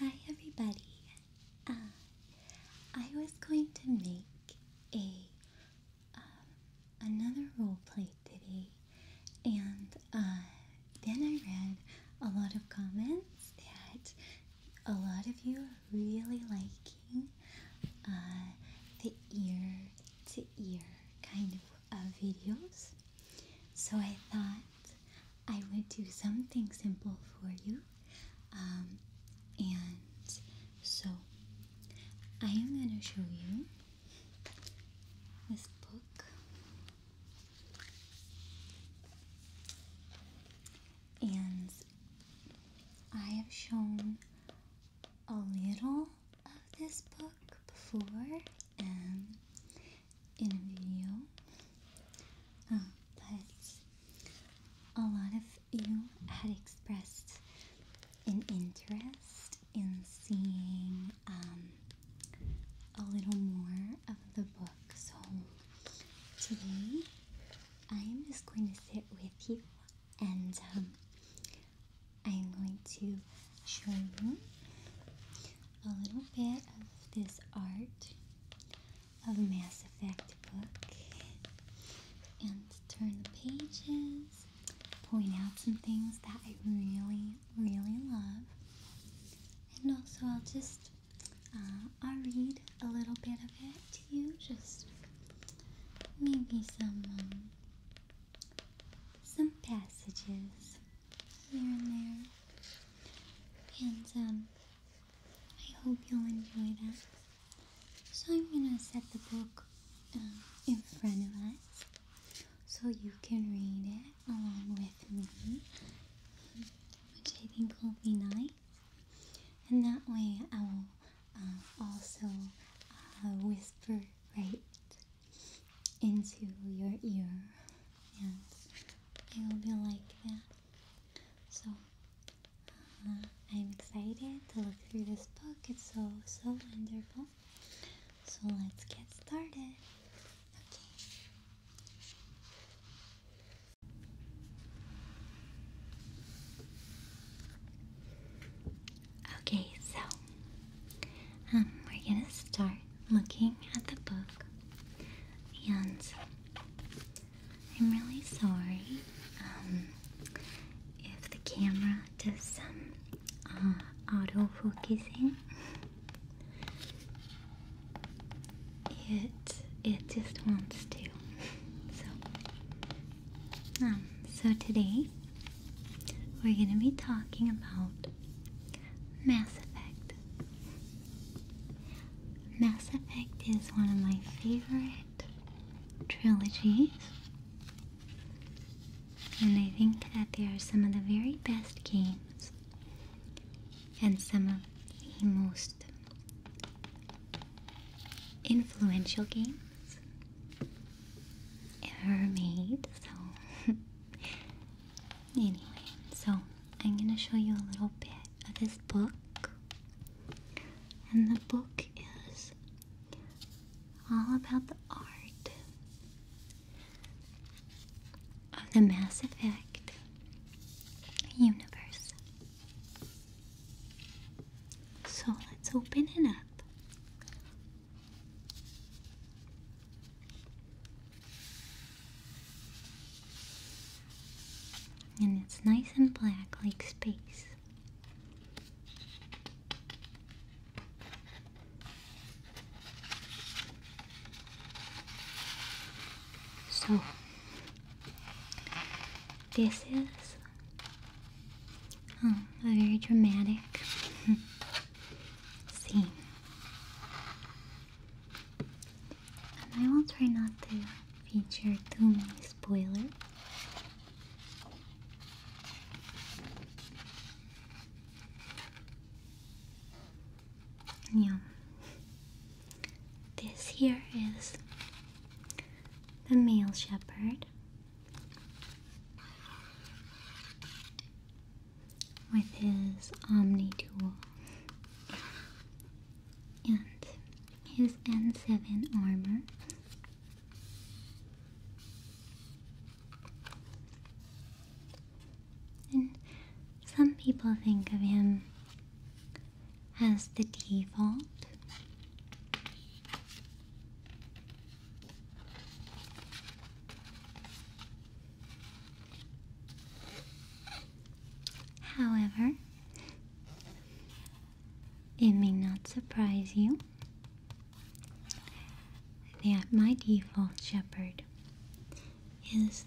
Hi everybody. Uh, I was going to make a um, another role play today, and uh, then I read a lot of comments that a lot of you are really liking uh, the ear to ear kind of videos. So I thought I would do something simple for you. Um, and so I am going to show you this book. And I have shown a little of this book before, and in a video. Um, but a lot of you had expressed an interest in seeing um, a little more of the book. So today I am just going to sit with you and I am um, going to show you a little bit of this art of Mass Effect book and turn the pages, point out some things that I really, really love. And also, I'll just uh, I'll read a little bit of it to you, just maybe some um, some passages here and there. And um, I hope you'll enjoy that. So I'm gonna set the book um, in front of us so you can read it along with me, which I think will be nice. And that way I will um, also uh, whisper right into your ear and I hope you like that. So uh, I'm excited to look through this book. It's so so wonderful. So let's get started. Okay. Okay, so um, we're gonna start looking at the book, and I'm really sorry um, if the camera does some uh, auto focusing. It it just wants to. So um, so today we're gonna be talking about Mass Effect. Mass Effect is one of my favorite trilogies, and I think that they are some of the very best games and some of the most influential games ever made. So Anyway, so I'm gonna show you a little bit of this book. And the book is all about the art of the Mass Effect universe. So let's open it up. And it's nice and black like space. So, this is um, a very dramatic scene. And I will try not to feature too many spoilers. Yeah. This here is the male shepherd with his Omni tool. And his N7 armor. And some people think of him as the default. However, it may not surprise you that my default shepherd is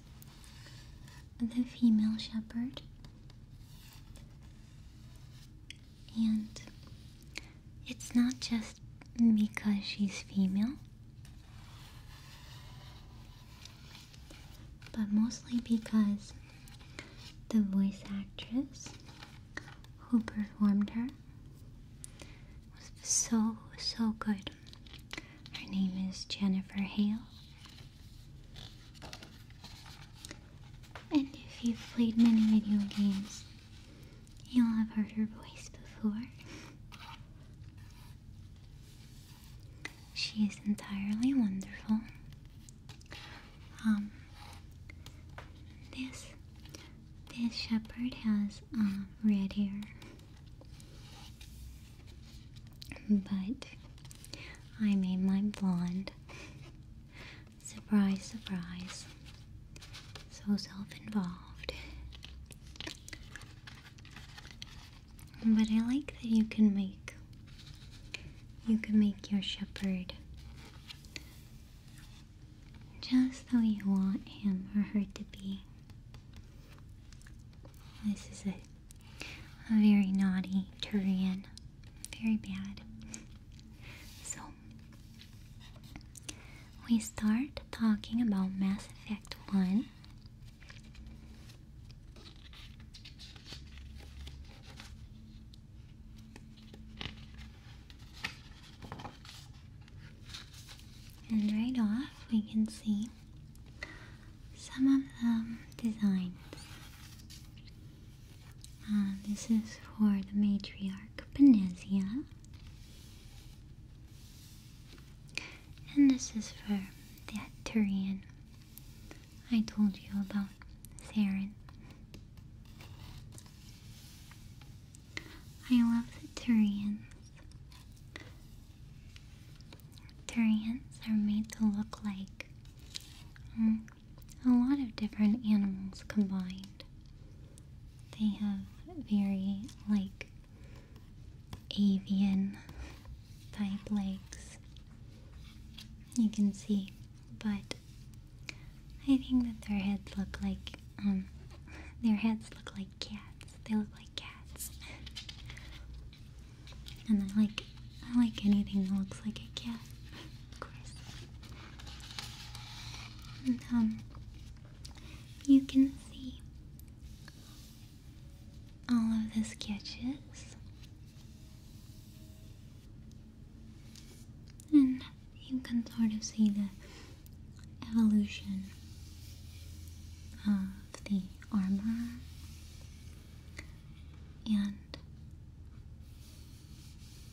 the female shepherd. And it's not just because she's female, but mostly because the voice actress who performed her was so, so good. Her name is Jennifer Hale. And if you've played many video games, you'll have heard her voice before. She is entirely wonderful. Um, this this shepherd has um, red hair, but I made mine blonde. surprise, surprise. So self-involved. But I like that you can make you can make your shepherd just the way you want him or her to be. This is a a very naughty Turian. Very bad. So we start talking about Mass Effect 1 and right off, we can see some of the designs. Uh, this is for the matriarch Benezia. And this is for the Turian I told you about, Saren. I love the Turians. Turians are made to look like mm, a lot of different animals combined. They have very like avian type legs you can see but I think that their heads look like um their heads look like cats they look like cats and I like I like anything that looks like a cat of course um you can see all of the sketches, and you can sort of see the evolution of the armor and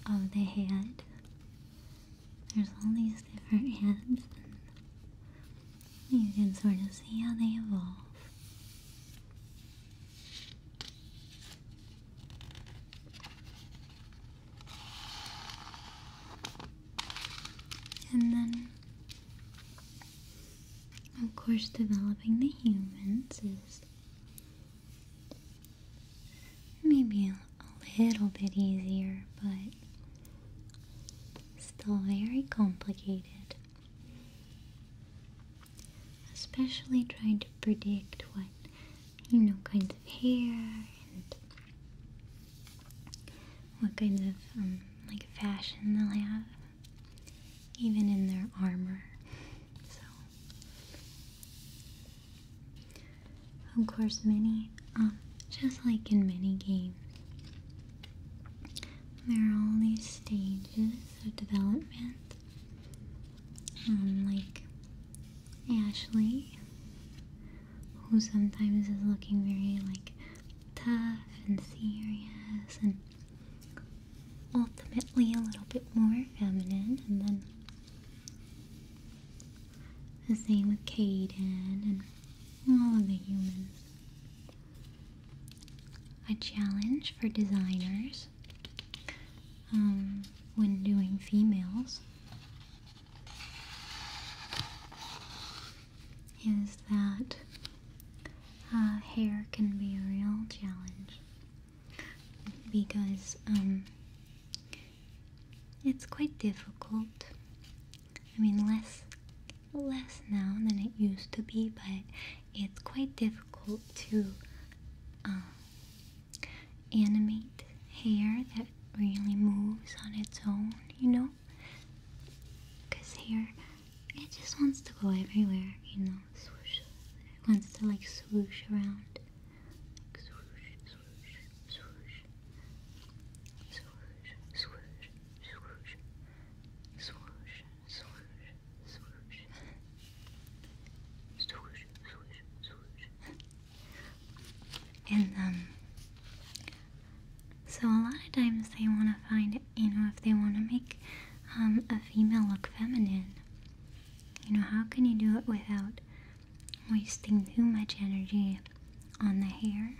of the head. There's all these different heads, you can sort of see how they evolve. And then, of course, developing the humans is maybe a, a little bit easier, but Still very complicated. Especially trying to predict what, you know, kinds of hair and what kinds of, um, like, fashion they'll have, even in their armor. So, of course, many, um, just like in many games, there are all these stages of development, um, like Ashley, who sometimes is looking very like tough and serious, and ultimately a little bit more feminine, and then the same with Caden and all of the humans a challenge for designers um, when doing females is that uh, hair can be a real challenge because um, it's quite difficult. I mean, less less now than it used to be, but it's quite difficult to um, animate hair that really moves on its own, you know? Because hair, it just wants to go everywhere, you know? Swoosh. It wants to like swoosh around. And um, so a lot of times they want to find, you know, if they want to make um, a female look feminine, you know, how can you do it without wasting too much energy on the hair?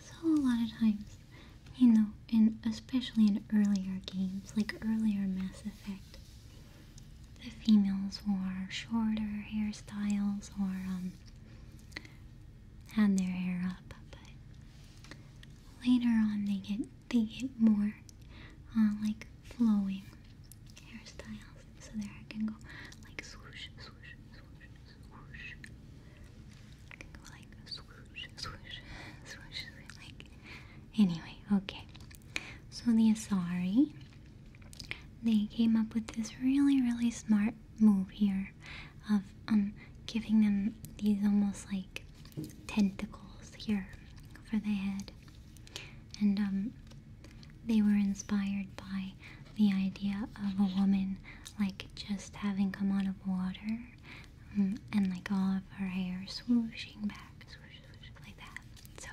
So a lot of times, you know, and especially in earlier games, like earlier Mass Effect, the females wore shorter hairstyles or um, had their hair up, but later on they get they get more uh, like flowing hairstyles, so their hair can go like swoosh, swoosh, swoosh, swoosh. like swoosh, swoosh, swoosh, like. Anyway, okay. So the Asari, they came up with this really, really smart move here, of um giving them these almost like tentacles here for the head, and um they were inspired by the idea of a woman like just having come out of water um, and like all of her hair swooshing back, like that. So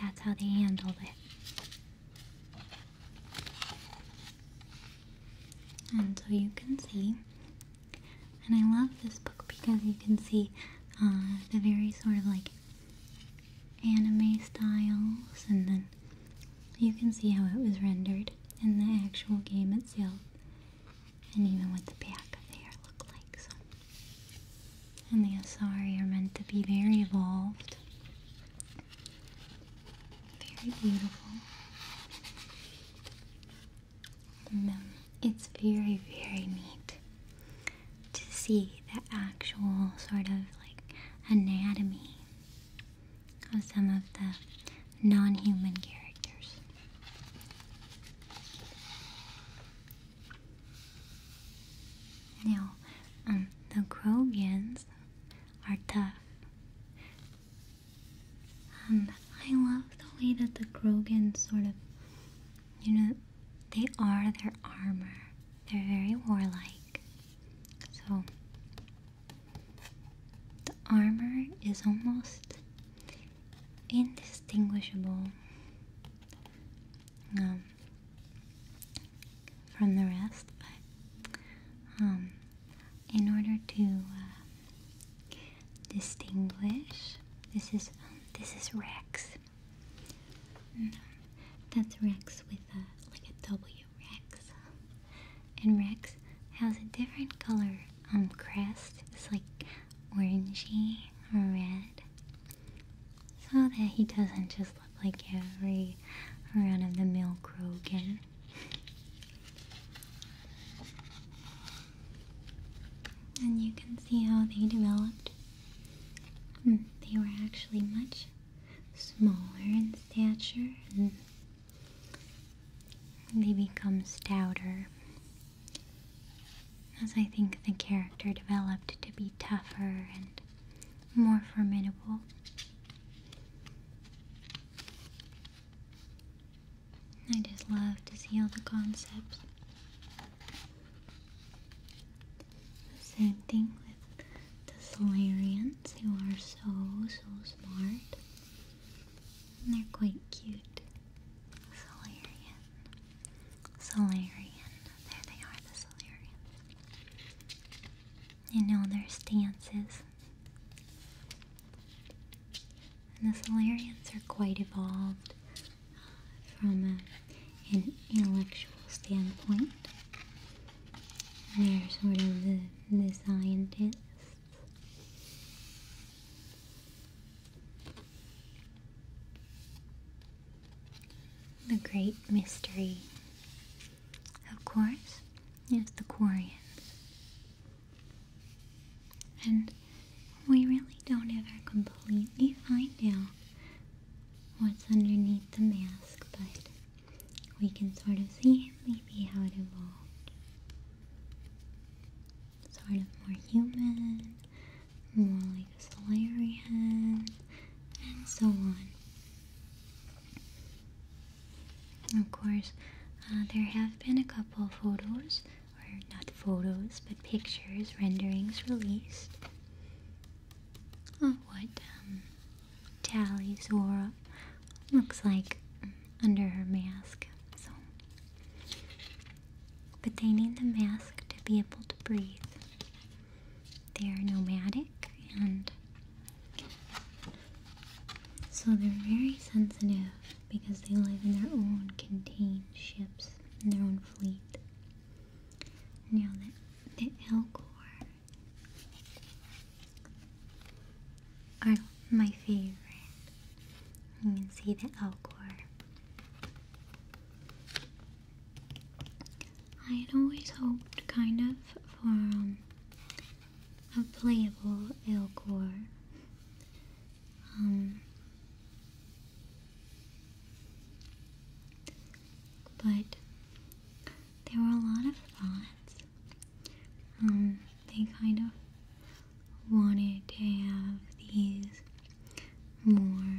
that's how they handled it. And so you can see, and I love this book because you can see uh, the very sort of like anime styles and then you can see how it was rendered in the actual game itself, and even what the back of the hair looked like. So. And the Asari are meant to be very evolved, very beautiful. Mm, it's very, very neat to see the actual sort of like anatomy of some of the non-human characters. Now, um, the Grogans are tough. Um, I love the way that the Grogans sort of, you know, they are their armor. They're very warlike. So, the armor is almost indistinguishable um, from the rest, but um, in order to uh, distinguish, this is um, this is Rex. Mm-hmm. that's Rex with a like a W Rex. And Rex has a different color um crest. It's like orangey red. So that he doesn't just look like every round of the mill Krogan. And you can see how they developed. Hmm, they were actually much smaller in stature and they become stouter. As I think the character developed to be tougher and more formidable. I just love to see all the concepts. The same thing with the Solarians, who are so, so smart. And they're quite cute. Solarian. Solarian. There they are, the Solarians. You know their stances. And the Solarians are quite evolved uh, from an intellectual standpoint. They're sort of the, scientists. The great mystery, of course, is the Quarians. And we really don't ever completely find out what's underneath the mask, but we can sort of see maybe how it evolved. Sort of more human, more like a Solarian, and so on. Of course, uh, there have been a couple photos, or not photos, but pictures, renderings released of what um, Tally Zora looks like mm, under her mask. So, but they need the mask to be able to breathe. They are nomadic and so they're very sensitive because they live in their own contained ships, in their own fleet. Now, the, the Elcor are my favorite. You can see the Elcor. I had always hoped, kind of, for um, a playable Elcor, um, but there were a lot of thoughts. Um, they kind of wanted to have these more,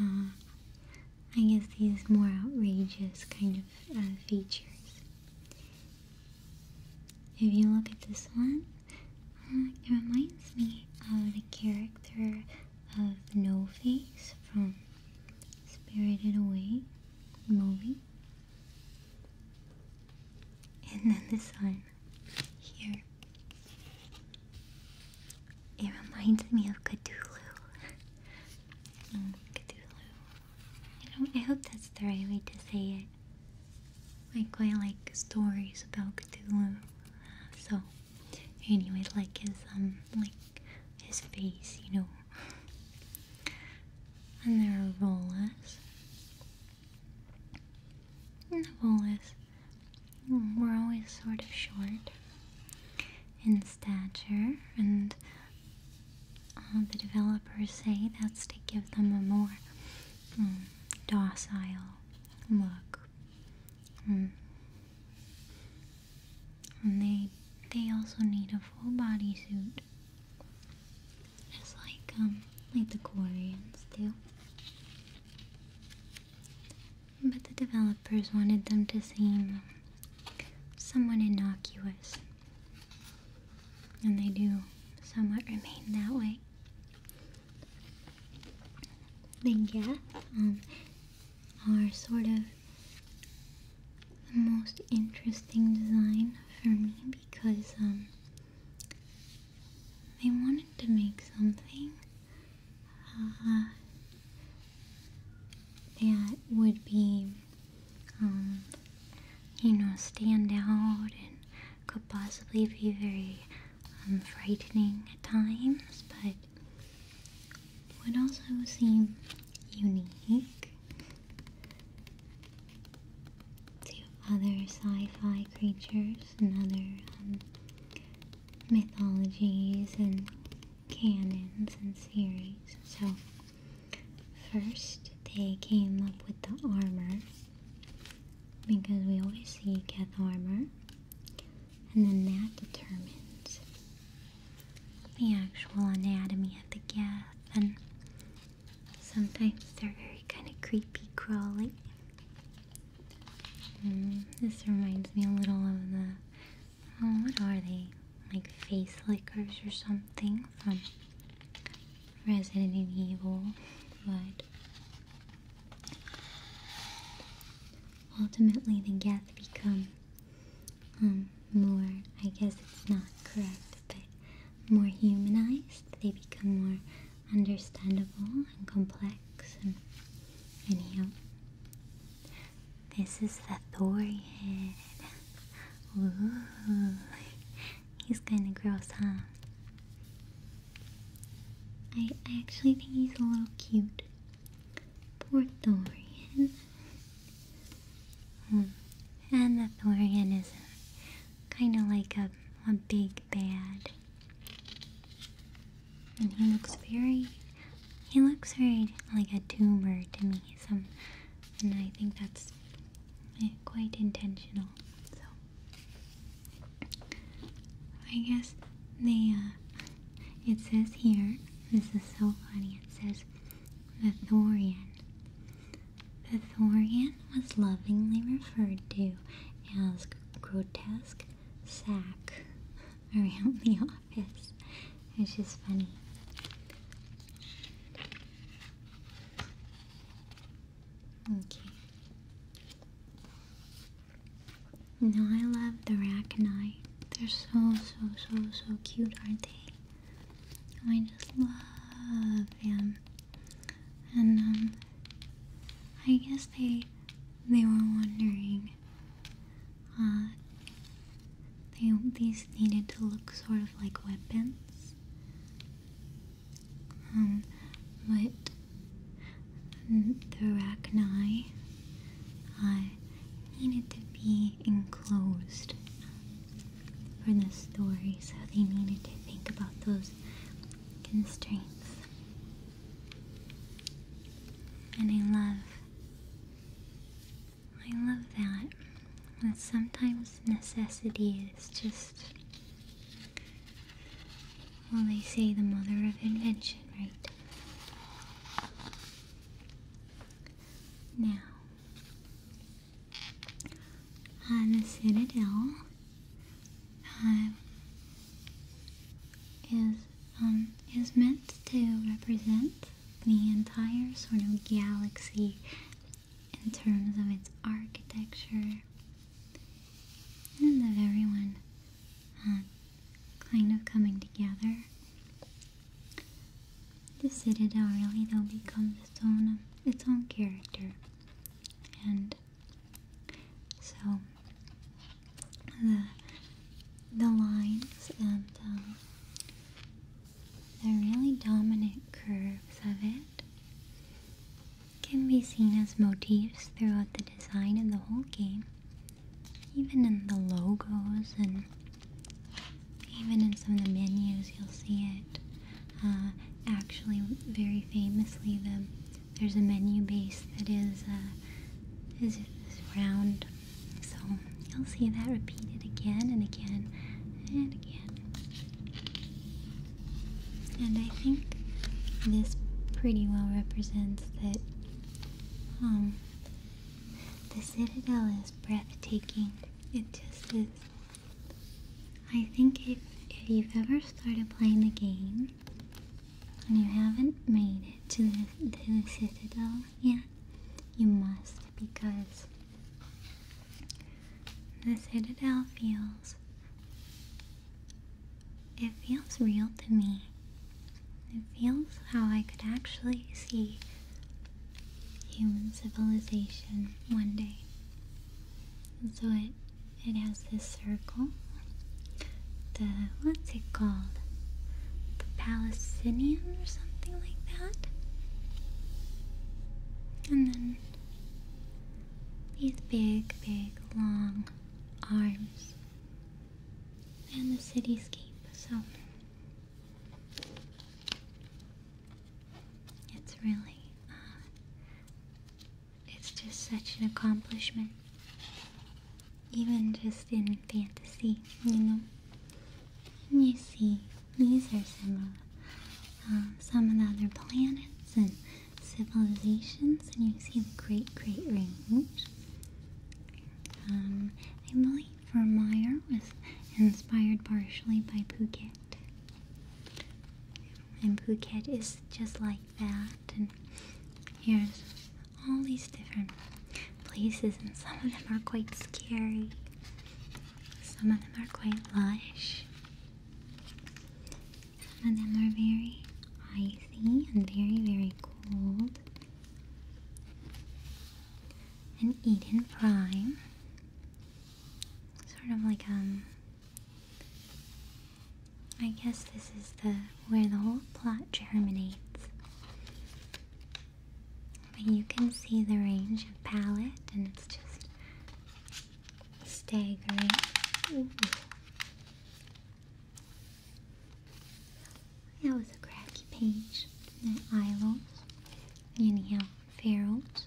uh, I guess, these more outrageous kind of uh, features. If you look at this one, uh, it reminds me of the character of No Face from Spirited Away movie. And then the sign here. It reminds me of Cthulhu. oh, I hope that's the right way to say it. I like stories about Cthulhu. So, anyway, like his um, like his face, you know, and they are rollers. And We're always sort of short in stature, and uh, the developers say that's to give them a more um, docile look. Hmm and they they also need a full bodysuit just like um like the Koreans do but the developers wanted them to seem somewhat innocuous and they do somewhat remain that way but yeah um, are sort of the most interesting design for me because um, they wanted to make something uh, that would be, um, you know, stand out and could possibly be very um, frightening at times, but but would also seem unique to other sci-fi creatures and other um, mythologies and canons and series. So first they came up with the armor because we always see Geth armor and then that determines the actual anatomy of the gap, and sometimes they're very kind of creepy crawly. Mm, this reminds me a little of the oh, what are they? Like face lickers or something from Resident Evil, but. Ultimately, the Geth become Hmm, more, I guess it's not correct, but more humanized. They become more understandable and complex. And anyhow, this is the Thorian. Ooh, he's kind of gross, huh? I, I actually think he's a little cute. Poor Thorian. Hmm. And the Thorian is kind of like a, a big bad. And he looks very, he looks very like a tumor to me. Some, and I think that's quite intentional. So, I guess they, uh, it says here, this is so funny, it says the Thorian. The Thorian was lovingly referred to as grotesque sack around the office, which is funny. Okay. Now I love the rack and I they're so, so, so, so cute, aren't they? I just love them. And, um, I guess they, they were wondering, uh, they, these needed to look sort of like weapons. Um, but mm, the Arachni, uh, needed to be enclosed for the story, so they needed to think about those constraints. And I love, I love that. That sometimes necessity is just, well, they say the mother of invention, right? Now, uh, the Citadel uh, is um, is meant to represent the entire sort of galaxy in terms of its architecture, and of everyone uh, kind of coming together the Citadel really though becomes its own its own character, and so the the lines and um, the really dominant curves of it can be seen as motifs throughout the design of the whole game even in the logos and even in some of the menus you'll see it uh, actually very famously the there's a menu base that is uh, is round so you'll see that repeated again and again and again and I think this pretty well represents that um, the citadel is breathtaking. It just is. I think if, if you've ever started playing the game and you haven't made it to the, citadel yet, you must because the citadel feels. It feels real to me. It feels how I could actually see human civilization one day. so it it has this circle. The what's it called? The Palestinian or something like that. And then these big, big, long arms and the cityscape. So it's really, uh, it's just such an accomplishment. Even just in fantasy, you know. And you see, these are some of uh, some of the other planets and civilizations, and you see the Great Great Range. I um, believe for Vermeer was inspired partially by Phuket. And Phuket is just like that. And here's all these different places, and some of them are quite scary, some of them are quite lush, some of them are very icy and very, very cold an Eden Prime. Sort of like um I guess this is the where the whole plot germinates. But you can see the range of palette and it's just staggering. Ooh. That was a cracky page. The Isles, anyhow, Ferals.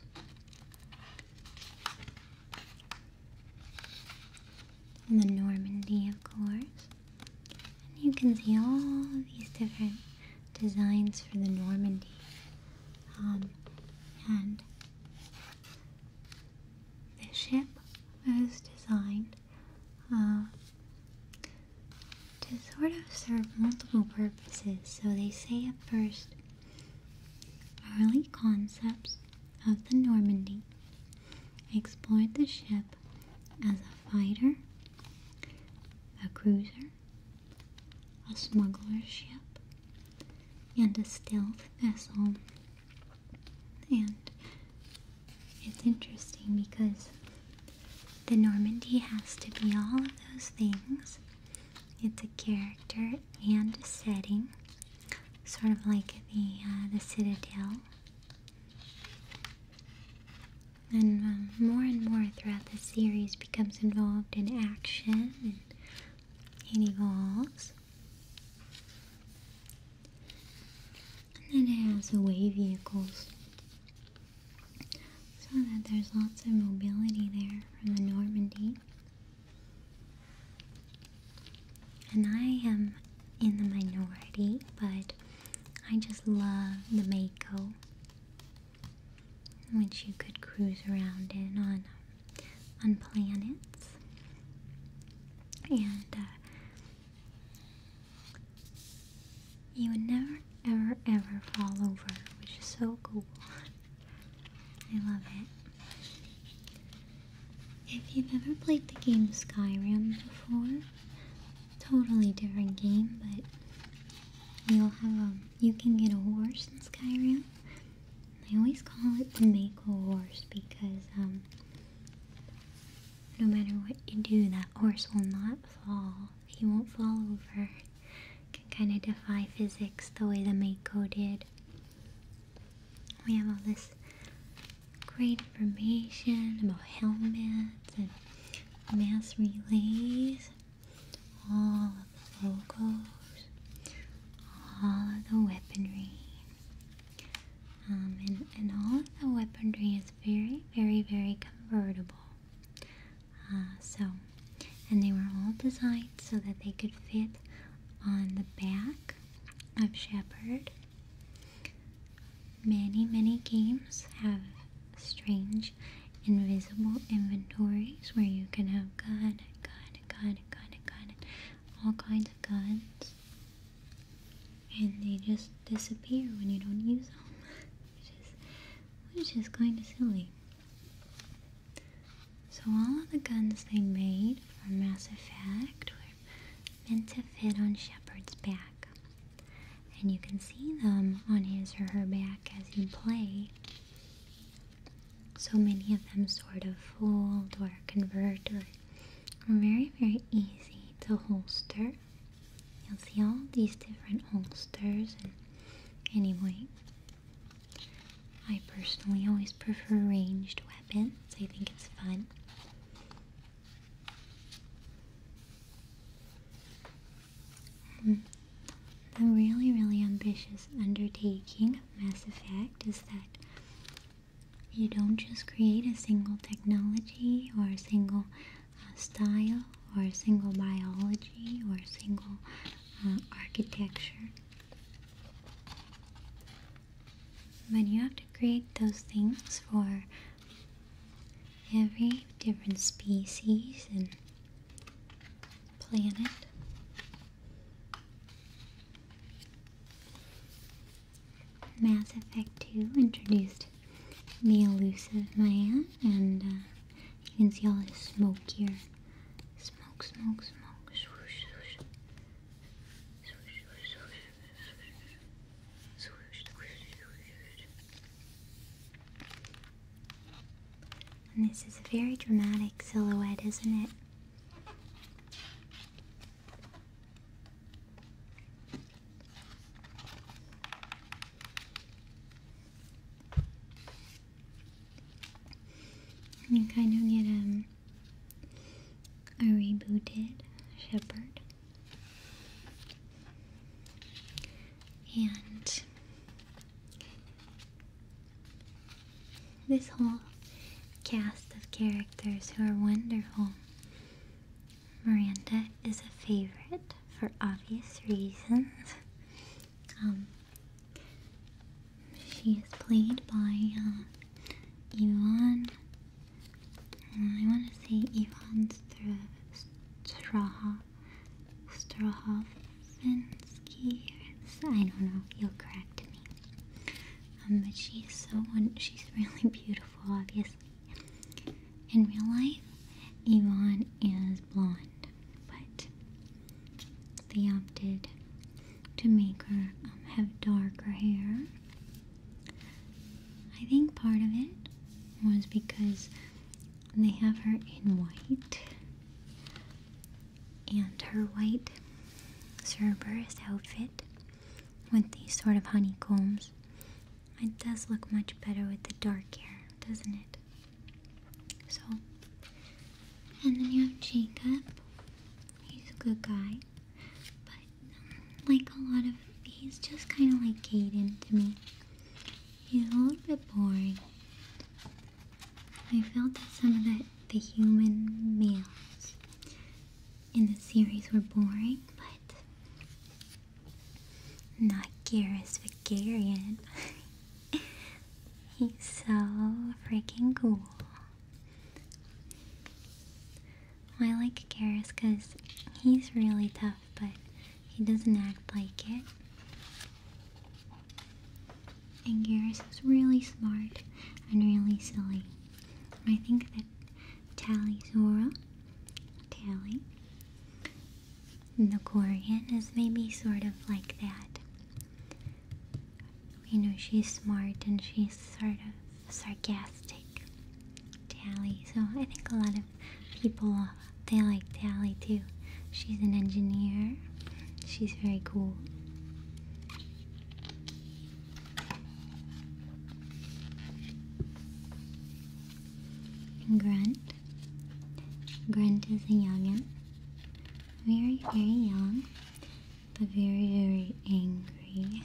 And the Normandy, of course. And you can see all these different designs for the Normandy. Um, and the ship was designed uh, to sort of serve multiple purposes. So they say at first, early concepts of the Normandy explored the ship as a fighter, a cruiser, a smuggler ship, and a stealth vessel. And it's interesting because the Normandy has to be all of those things. It's a character and a setting, sort of like the uh, the Citadel. And um, more and more throughout the series becomes involved in action and it evolves and then it has the away vehicles so that there's lots of mobility there from the Normandy. And I am in the minority, but I just love the Mako, which you could cruise around in on on planets. And uh, you would never, ever, ever fall over, which is so cool. I love it. If you've ever played the game Skyrim before, totally different game, but you'll have a, um, you can get a horse in Skyrim. I always call it the Mako horse because um, no matter what you do, that horse will not fall. He won't fall over. Can kind of defy physics the way the Mako did. We have all this great information about helmets and mass relays, all of the logos, all of the weaponry. Um, and, and all the weaponry is very, very, very convertible. Uh, so, and they were all designed so that they could fit on the back of Shepard. Many, many games have strange invisible inventories where you can have gun, gun, gun, gun, gun, all kinds of guns and they just disappear when you don't use them, which is which kind of silly. So all of the guns they made for Mass Effect were meant to fit on Shepard's back, and you can see them on his or her back as you play. So many of them sort of fold or convert or are very very easy to holster You'll see all these different holsters and anyway. I personally always prefer ranged weapons. I think it's fun. Hmm. the really, really ambitious undertaking of Mass Effect is that you don't just create a single technology or a single uh, style or a single biology or a single uh, architecture. But you have to create those things for every different species and planet. Mass Effect 2 introduced the elusive man, and uh, you can see all his smoke here. Smoke, smoke, smoke, swoosh, swoosh. Swoosh, swoosh, swoosh, swoosh. Swoosh, swoosh, swoosh. And this is a very dramatic silhouette, isn't it? You kind of get um, a rebooted shepherd. And this whole cast of characters who are wonderful Miranda is a favorite for obvious reasons. Um, she is played by uh, Yvonne. I want to say Yvonne Strahoff, Strahovensky. I don't know. You'll correct me. Um, but she's so she's really beautiful, obviously. In real life, Yvonne is blonde, but they opted to make her um, have darker hair. I think part of it was because they have her in white, and her white Cerberus outfit with these sort of honeycombs it does look much better with the dark hair, doesn't it? So, and then you have Jacob. He's a good guy, but um, like a lot of, he's just kind of like Caden to me. He's a little bit boring. I felt that some of the, the human males in the series were boring, but not Garrus, but Garion. He's so freaking cool. I like Garrus because he's really tough, but he doesn't act like it. And Garrus is really smart and really silly. I think that Tally Zora, Tally. And the Corian is maybe sort of like that. You know, she's smart and she's sort of sarcastic. Tally. So I think a lot of people, they like Tally too. She's an engineer. She's very cool. Grunt. Grunt is a youngin. Very, very young, but very, very angry.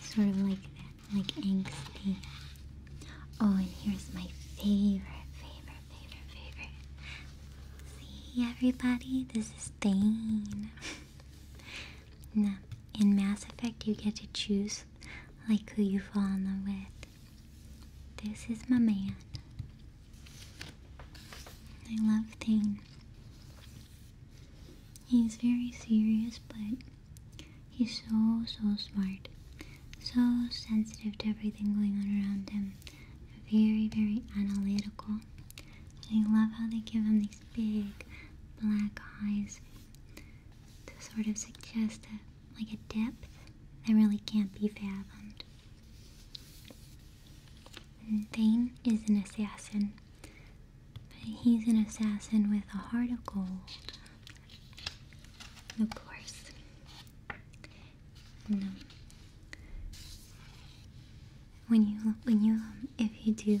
Sort of like that, like angry. Oh, and here's my favorite, favorite, favorite, favorite. See, everybody? This is Thane. now, in Mass Effect, you get to choose like who you fall in love with. This is my man. I love Thane. He's very serious, but he's so, so smart. So sensitive to everything going on around him. Very, very analytical. I love how they give him these big black eyes to sort of suggest a, like a depth that really can't be fathomed. Dane is an assassin, but he's an assassin with a heart of gold, of course. And, um, when you when you um, if you do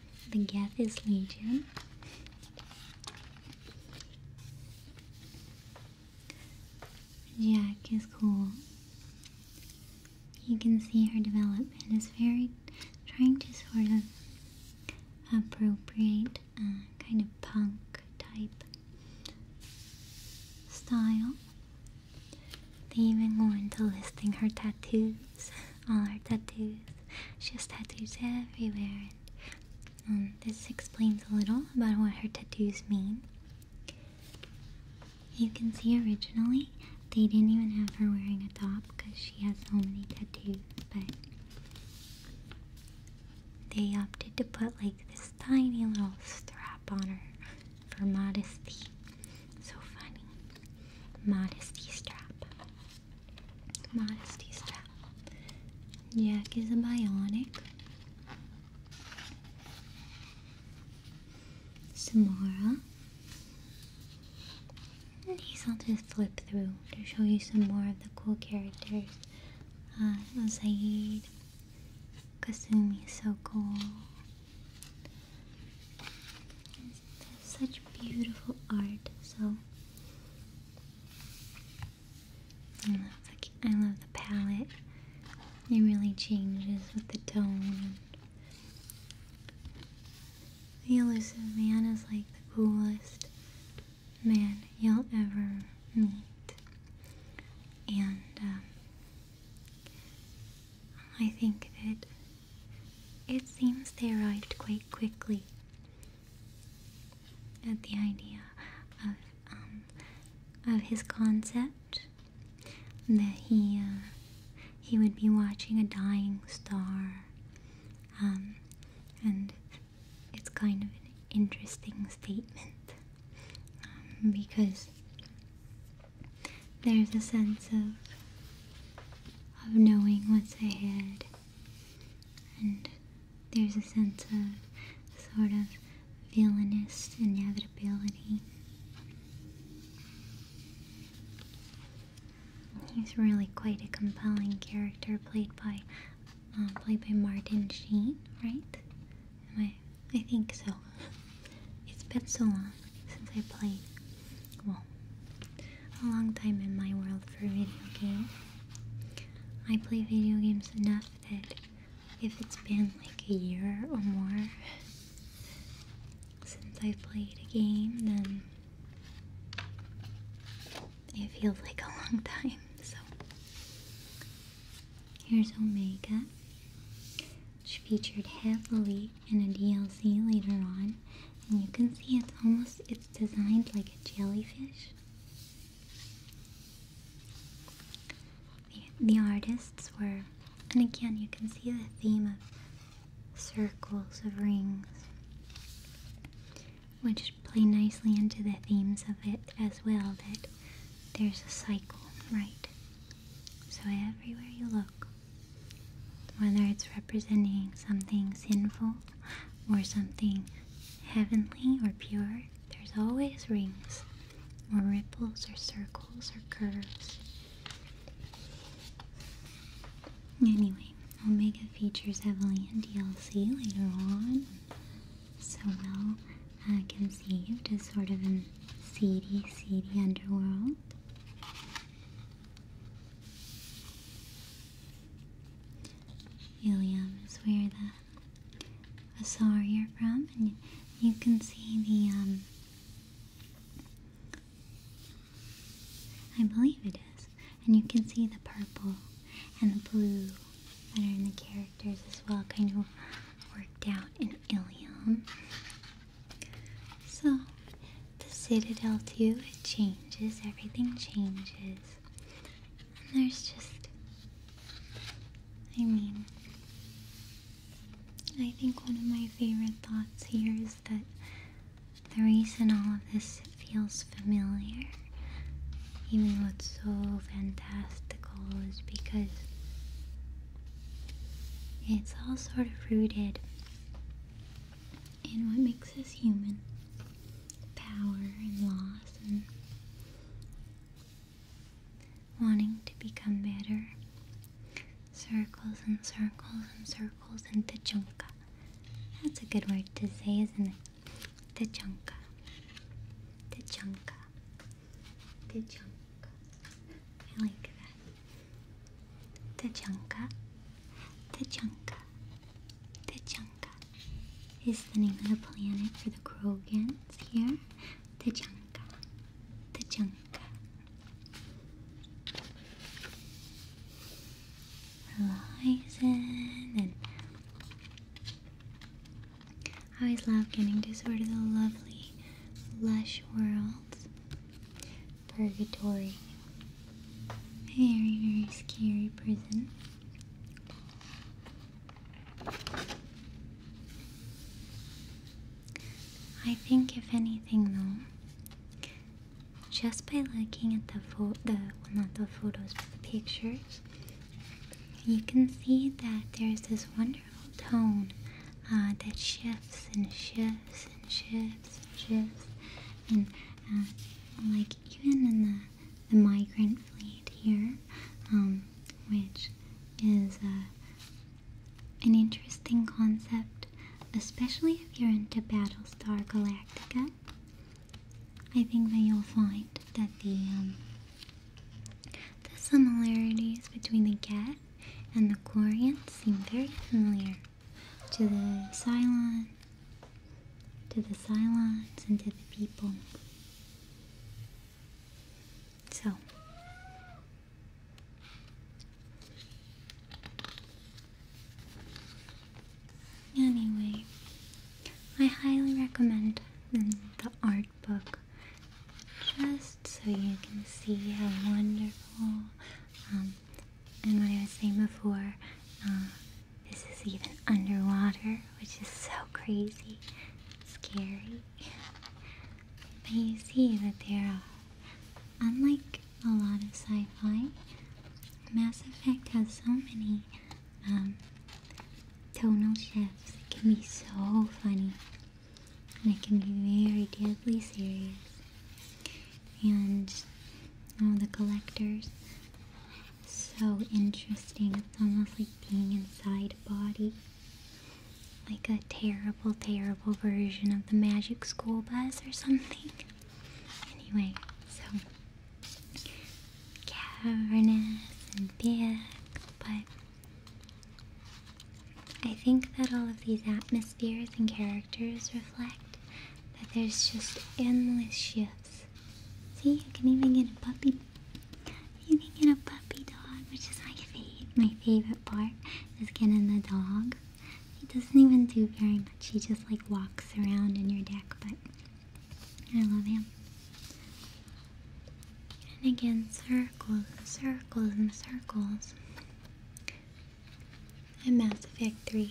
the Geth is Legion. Jack is cool. You can see her development is very trying to sort of appropriate uh, kind of punk type style. They even go into listing her tattoos all her tattoos. She has tattoos everywhere, this explains a little about what her tattoos mean. You can see originally they didn't even have her wearing a top because she has so many tattoos, but they opted to put like this tiny little strap on her for modesty. So funny. Modesty strap. Modesty strap. Jack is a bionic. Samara. These I'll just flip through to show you some more of the cool characters. Uh, Zaid, Kasumi is so cool such beautiful art. So I love the palette. It really changes with the tone. The elusive man is like the coolest man you'll ever meet, and um, I think that it seems they arrived quite quickly at the idea of um, of his concept that he uh, he would be watching a dying star, um, and it's kind of an interesting statement um, because there's a sense of of knowing what's ahead. And there's a sense of sort of villainous inevitability. He's really quite a compelling character played by uh, played by Martin Sheen, right? Am I? I think so. It's been so long since I played, well, a long time in my world for video games. I play video games enough that if it's been like a year or more since i played a game, then it feels like a long time. So, here's Omega, which featured heavily and a DLC later on. And you can see it's almost, it's designed like a jellyfish. the artists were, and again you can see the theme of circles of rings, which play nicely into the themes of it as well, that there's a cycle, right? So everywhere you look, whether it's representing something sinful or something heavenly or pure, there's always rings or ripples or circles or curves. Anyway, Omega features heavily in DLC later on, so well uh, conceived as sort of a seedy, seedy underworld. Ilium is where the Asari are from, and you, can see the, um, I believe it is, and you can see the purple and the blue that are in the characters as well, kind of worked out in Ilium. So, the Citadel too, it changes, everything changes. And there's just, I mean, I think one of my favorite thoughts here is that the reason all of this feels familiar, even though it's so fantastical, is because it's all sort of rooted and what makes us human power and loss and wanting to become better. Circles and circles and circles and tachunka. That's a good word to say, isn't it? Tachunka. Tachunka. Tachunka. I like that. Tachanka, Tachanka, Tachanka is the name of the planet for the Krogans here. Tachanka, Tachanka. Horizon I always love getting to sort of the lovely, lush world purgatory. Very, very scary prison. I think, if anything, though, just by looking at the photo, the well, not the photos, but the pictures, you can see that there's this wonderful tone uh, that shifts and shifts and shifts and shifts and uh, like even in the, migrant fleet here, um, which is uh, an interesting concept, especially if you're into Battlestar Galactica. I think that you'll find that the um, the similarities between the Gat and the Korian seem very familiar to the Cylon, to the Cylons, and to the people. So, anyway, I highly recommend mm, the art book just so you can see how wonderful um, and what I was saying before, um, this is even underwater, which is so crazy, scary. But you see that there are, unlike a lot of sci-fi, Mass Effect has so many um, tonal shifts. It can be so funny, and it can be very deadly serious and all the collectors. So interesting. It's almost like being inside a body. Like a terrible, terrible version of the magic school bus or something. Anyway, so cavernous and big, but I think that all of these atmospheres atmospheres and characters reflect that there's just endless shifts. See, you can even get a puppy. You can get a puppy dog, which is my favorite. My favorite part is getting the dog. He doesn't even do very much. He just like walks around in your deck, but I love him. And again, circles circles and circles and Mass Effect And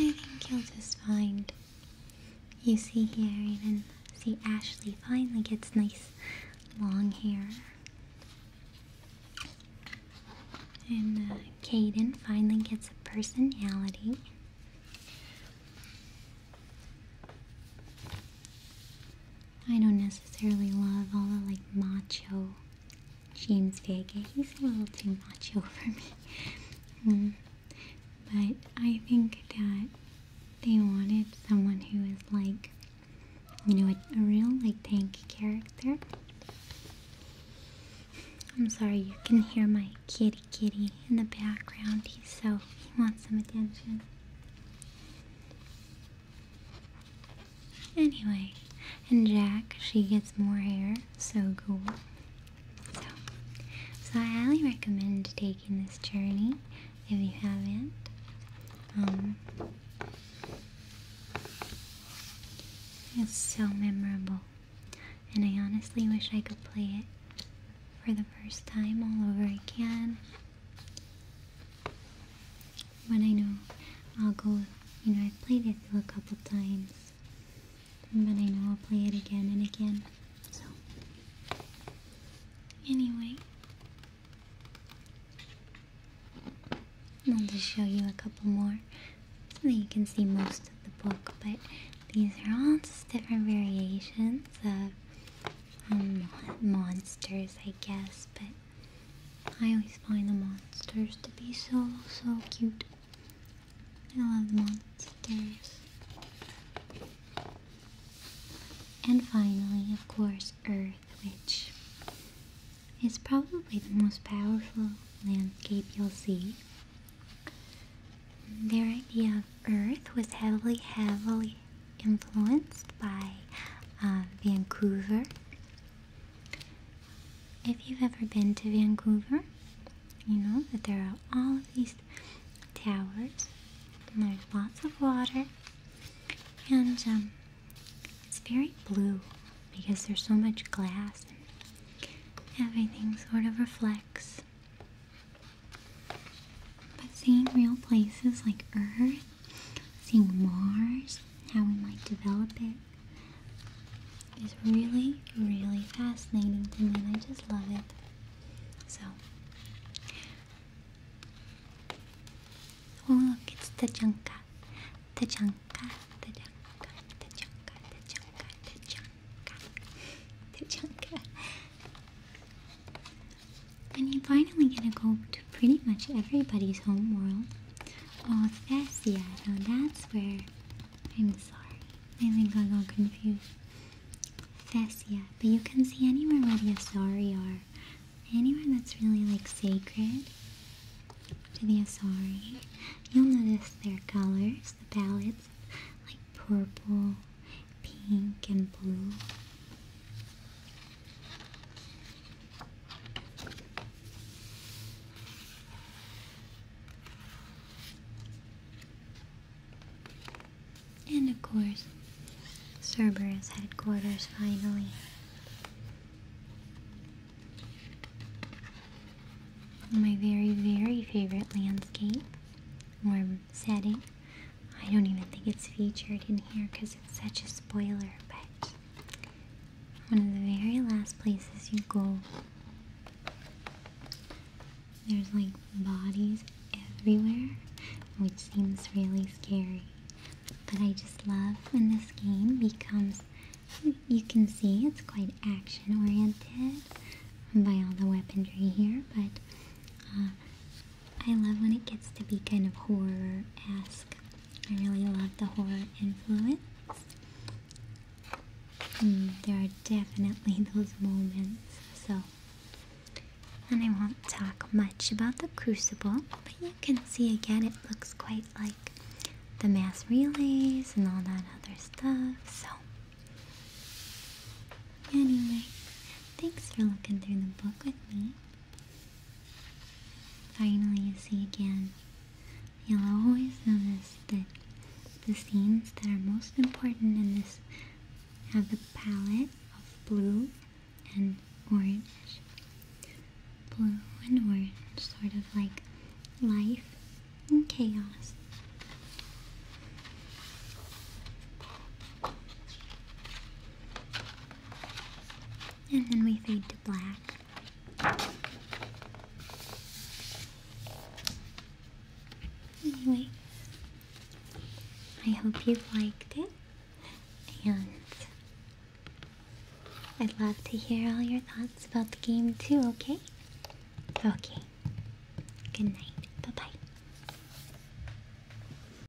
I think you'll just find. You see here, even see Ashley finally gets nice long hair. And uh, Caden finally gets a personality. I don't necessarily love all the like macho James Vega. He's a little too macho for me. Mm. But I think that they wanted someone who is like, you know, a, a real like tank character. I'm sorry, you can hear my kitty kitty in the background. He's so, he wants some attention. Anyway, and Jack, she gets more hair, so cool. So, I highly recommend taking this journey if you haven't. Um, it's so memorable, and I honestly wish I could play it for the first time all over again. But I know I'll go, you know, I've played it through a couple times. But I know I'll play it again and again. So, anyway, I'll just show you a couple more so that you can see most of the book. But these are all just different variations of um, monsters, I guess. But I always find the monsters to be so, so cute. I love monsters. And finally, of course, Earth, which is probably the most powerful landscape you'll see. Their idea of Earth was heavily, heavily, influenced by um, Vancouver. If you've ever been to Vancouver, you know that there are all of these towers, and there's lots of water, and um, it's very blue because there's so much glass everything sort of reflects. But seeing real places like Earth seeing Mars, how we might develop it, is really, really fascinating to me, I just love it. So, oh look, it's Tajanka, Tajanka, Tajanka, Tajanka, Tajanka, Tajanka, Tajanka. And you're finally gonna go to pretty much everybody's home world. Oh, that's Seattle. That's where. I'm sorry. I think I got confused. Thessia, but you can see anywhere where the Asari are. Anywhere that's really like sacred to the Asari. You'll notice their colors, the palettes, like purple, pink, and blue. And of course, Cerberus headquarters finally. My very, very favorite landscape or setting I don't even think it's featured in here because it's such a spoiler, but one of the very last places you go, there's like bodies everywhere, which seems really scary. But I just love when this game becomes, you can see it's quite action oriented by all the weaponry here, but uh, I love when it gets to be kind of horror esque. I really love the horror influence. Mm, there are definitely those moments. So, and I won't talk much about the crucible, but you can see again it looks quite like the mass relays and all that other stuff. So, anyway, thanks for looking through the book with me. Finally, you see again. You'll always notice that the scenes that are most important in this have the palette of blue and orange. Blue and orange, sort of like life and chaos. And then we fade to black. Anyway, I hope you liked it. And I'd love to hear all your thoughts about the game too, okay? Okay. Good night. Bye-bye.